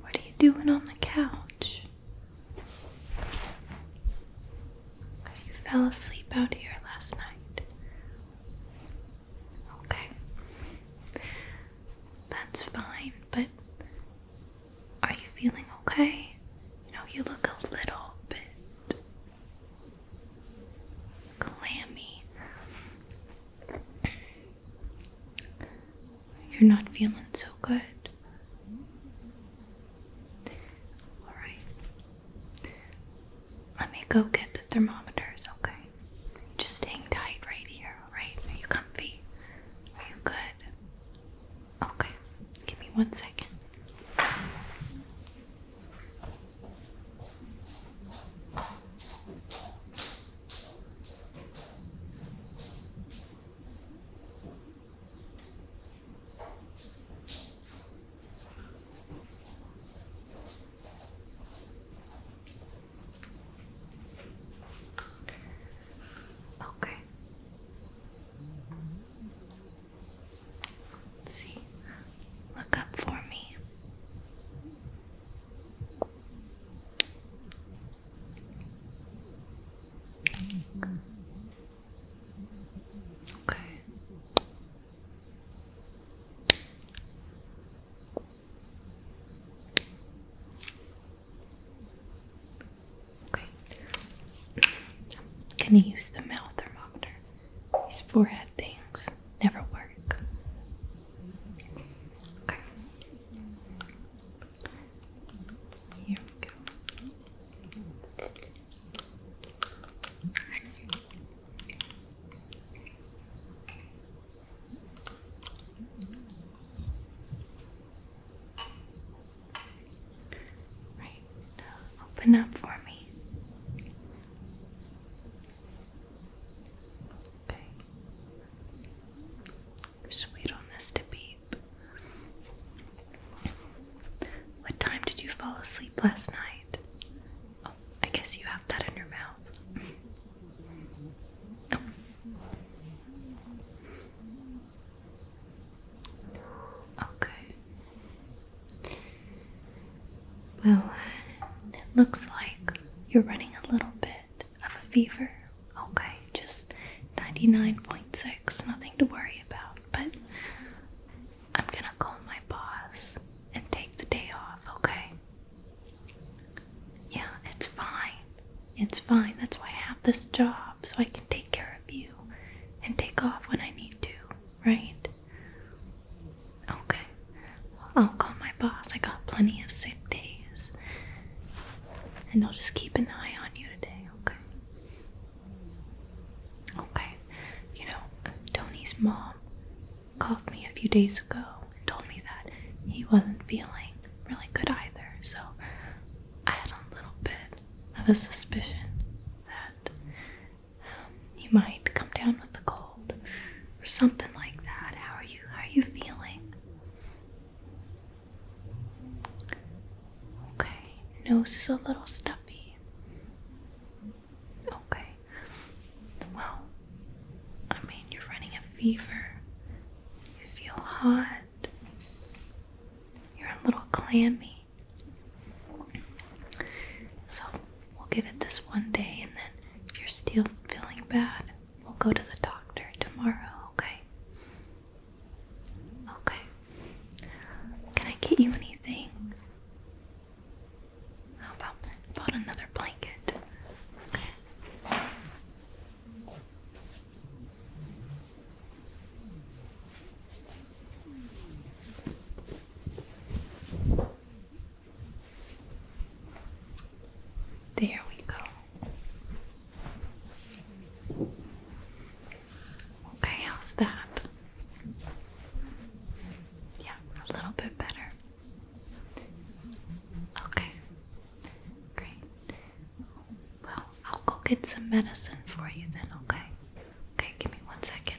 what are you doing on the couch? You fell asleep out here last night. Okay. That's fine, but are you feeling okay? You know, you look a little bit clammy. You're not feeling so good. Alright. Let me go get the thermometers, okay? Just hang tight right here, alright? Are you comfy? Are you good? Okay. Give me one second. Okay. Let's see. Look up for me. Okay. Okay. I'm gonna use the mouth thermometer. His forehead things never work. Okay. Here Right, open up for me wait on this to beep. What time did you fall asleep last night? Oh, I guess you have that in your mouth. Okay. Well, it looks like you're running a little bit of a fever. Okay, just 99.6, nothing to worry about. But I'm gonna call my boss and take the day off, okay? Yeah, it's fine. It's fine. That's why I have this job, so I can take care of you and take off when I need to, right? Okay. I'll call my boss. I got plenty of sick days. And I'll just keep an eye on you today, okay? Okay. You know, Tony's mom called me a few days ago and told me that he wasn't feeling really good either. So I had a little bit of a suspicion that you might come down with the cold or something like that. How are you? How are you feeling? Okay, nose is a little stuffy. Okay, well, I mean, you're running a fever, you feel hot. You're a little clammy. So We'll give it this one day, and then if you're still feeling bad, we'll go to the doctor tomorrow, okay? Okay. Can I get you anything? How about, about another blanket? There we go. Okay, how's that? Yeah, a little bit better. Okay, great. Well, I'll go get some medicine for you then, okay? Okay, give me one second.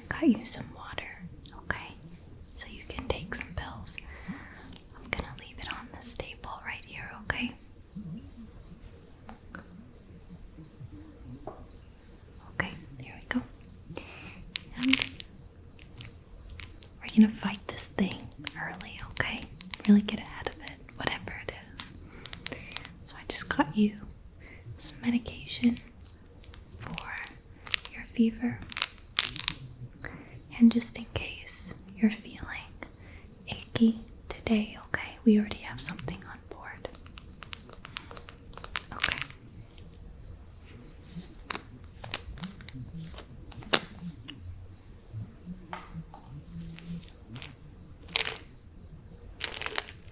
I got you some water, okay? So you can take some pills. I'm gonna leave it on the staple right here, okay? Okay, there we go. we're gonna fight this thing early, okay? Really get ahead of it, whatever it is. So I just got you some medication for your fever. And just in case you're feeling achy today, okay, we already have something on board. Okay.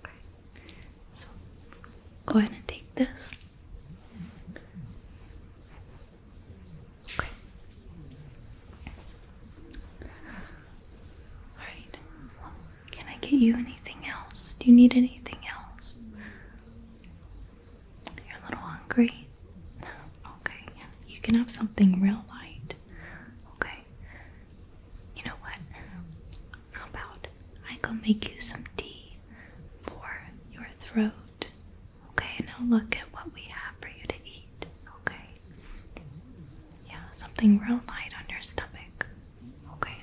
Okay. So go ahead and take this. Okay. Alright. can I get you anything else? Do you need anything else? You're a little hungry? Okay. You can have something real light right. Okay. You know what? How about I go make you some tea for your throat? Okay, Now look at what we have for you to eat. Okay. Yeah, something real light on your stomach. Okay.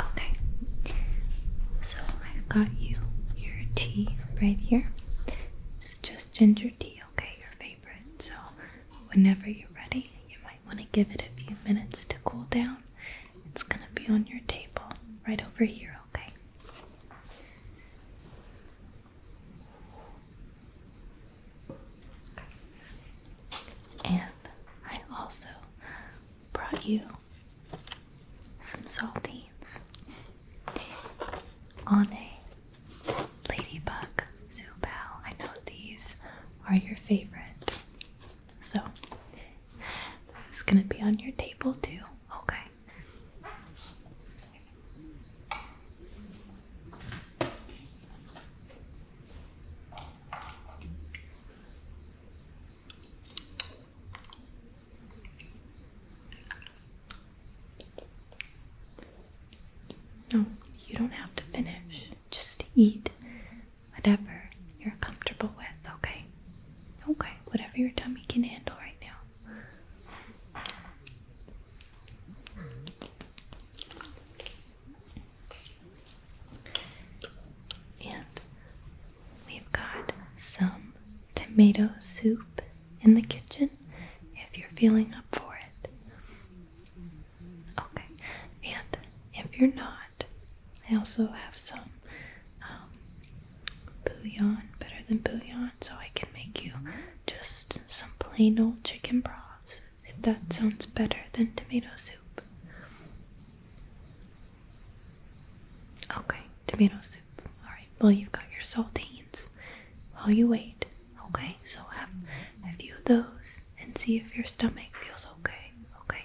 Okay, so I've got you your tea right here. It's just ginger tea, okay? Your favorite. So, whenever you're ready, you might want to give it a few minutes to cool down. It's gonna be on your table right over here, okay? okay. And I also brought you some saltines on a ladybug zoo zubao. I know these are your favorite. So this is gonna be on your table too, okay? No, you don't have to finish. Just eat whatever you're comfortable with, okay? Okay, whatever your tummy can handle right now. And we've got some tomato soup in the kitchen if you're feeling up for it. Okay, and if you're not, I also have some um, bouillon, better than bouillon, so I can make you just some plain old chicken broth if that sounds better than tomato soup. Okay, tomato soup. Alright, well, you've got your saltines while you wait. Okay, so have a few of those and see if your stomach feels okay. Okay.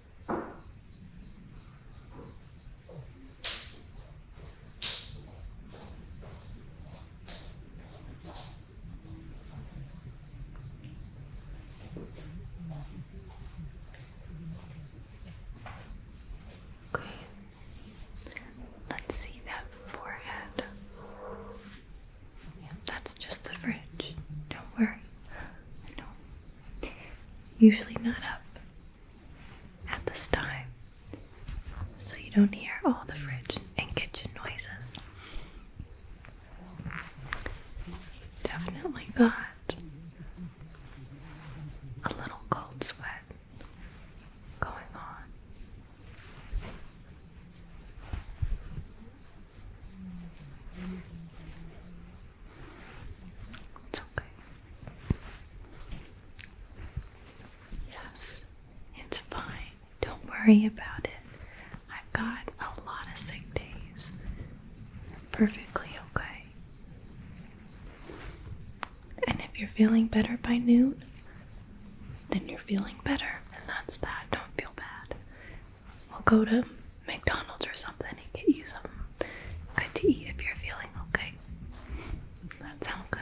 Okay. Let's see that forehead. that's just the fridge. Don't worry. I usually not up at this time, so you don't hear all the fridge and kitchen noises. Definitely got a little cold sweat going on. It's okay. Yes, it's fine. Don't worry about it. I've got a lot of sick days. You're perfectly okay. And if you're feeling better by noon, then you're feeling better, and that's that. Don't feel bad. We'll go to McDonald's or something and get you something good to eat if you're feeling okay. That sounds good.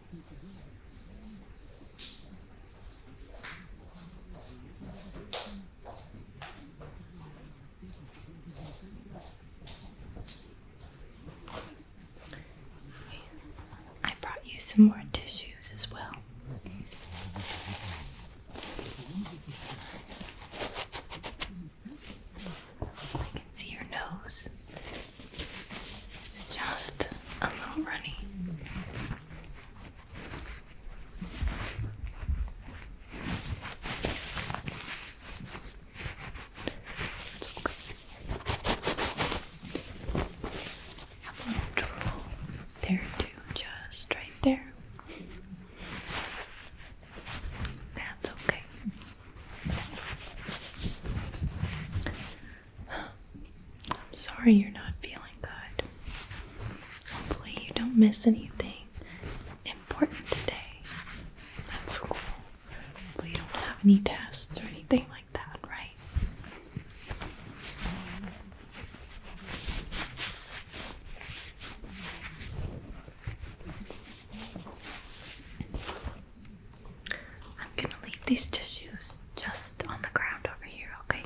I brought you some more tissues as well. I can see your nose. It's just a little runny. It's okay. I'm there too, just right there. That's okay. I'm sorry you're not feeling good. Hopefully, you don't miss anything important today. That's cool. Hopefully, you don't have any tests or anything like that, right? I'm gonna leave these tissues just on the ground over here, okay?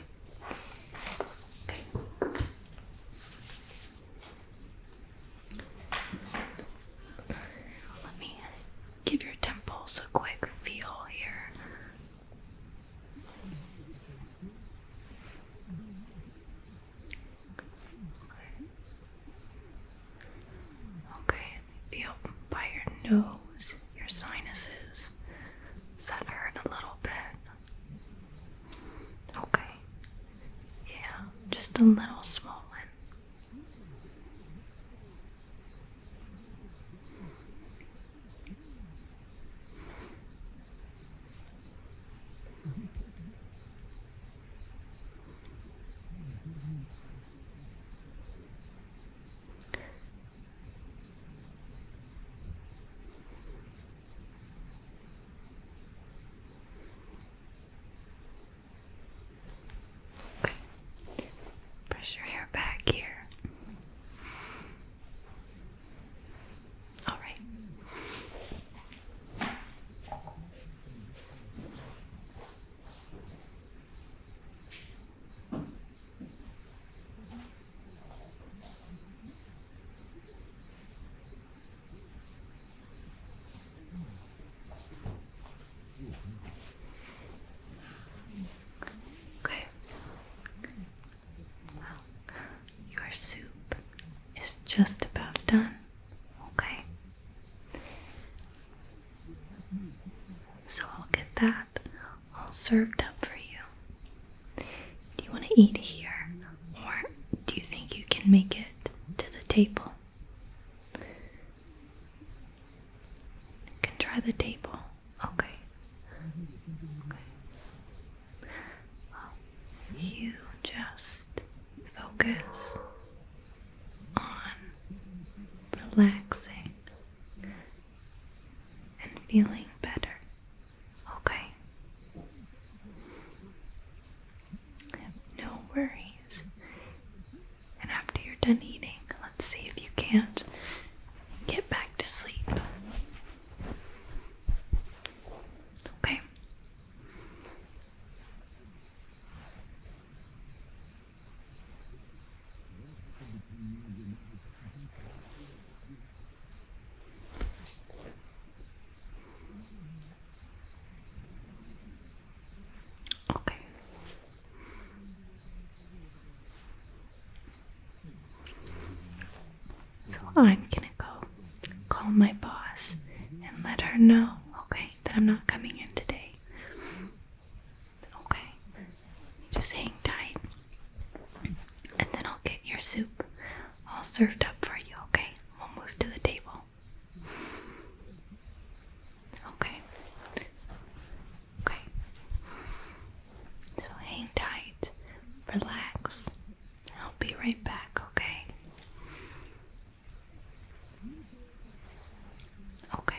Let me give your temples a quick feel here. okay feel by your nose your sinuses. Does that hurt a little bit? Okay. Yeah, just a little swollen. Okay. Press your hair back here. All right. Okay. Wow. Your soup is just about done. Okay. So I'll get that all served up for you. Do you want to eat here or do you think you can make it to the table? You can try the table. Okay. Okay. Well, you just focus on relaxing and feeling better. Okay? No worries. And after you're done eating, let's see if you can't get back to sleep. Okay? Okay. So I'm gonna go call my boss and let her know, okay, that I'm not coming in today. Okay. Just hang tight. And then I'll get your soup all served up for you, okay? We'll move to the table. Okay. Okay. So hang tight, relax, I'll be right back, okay? Okay.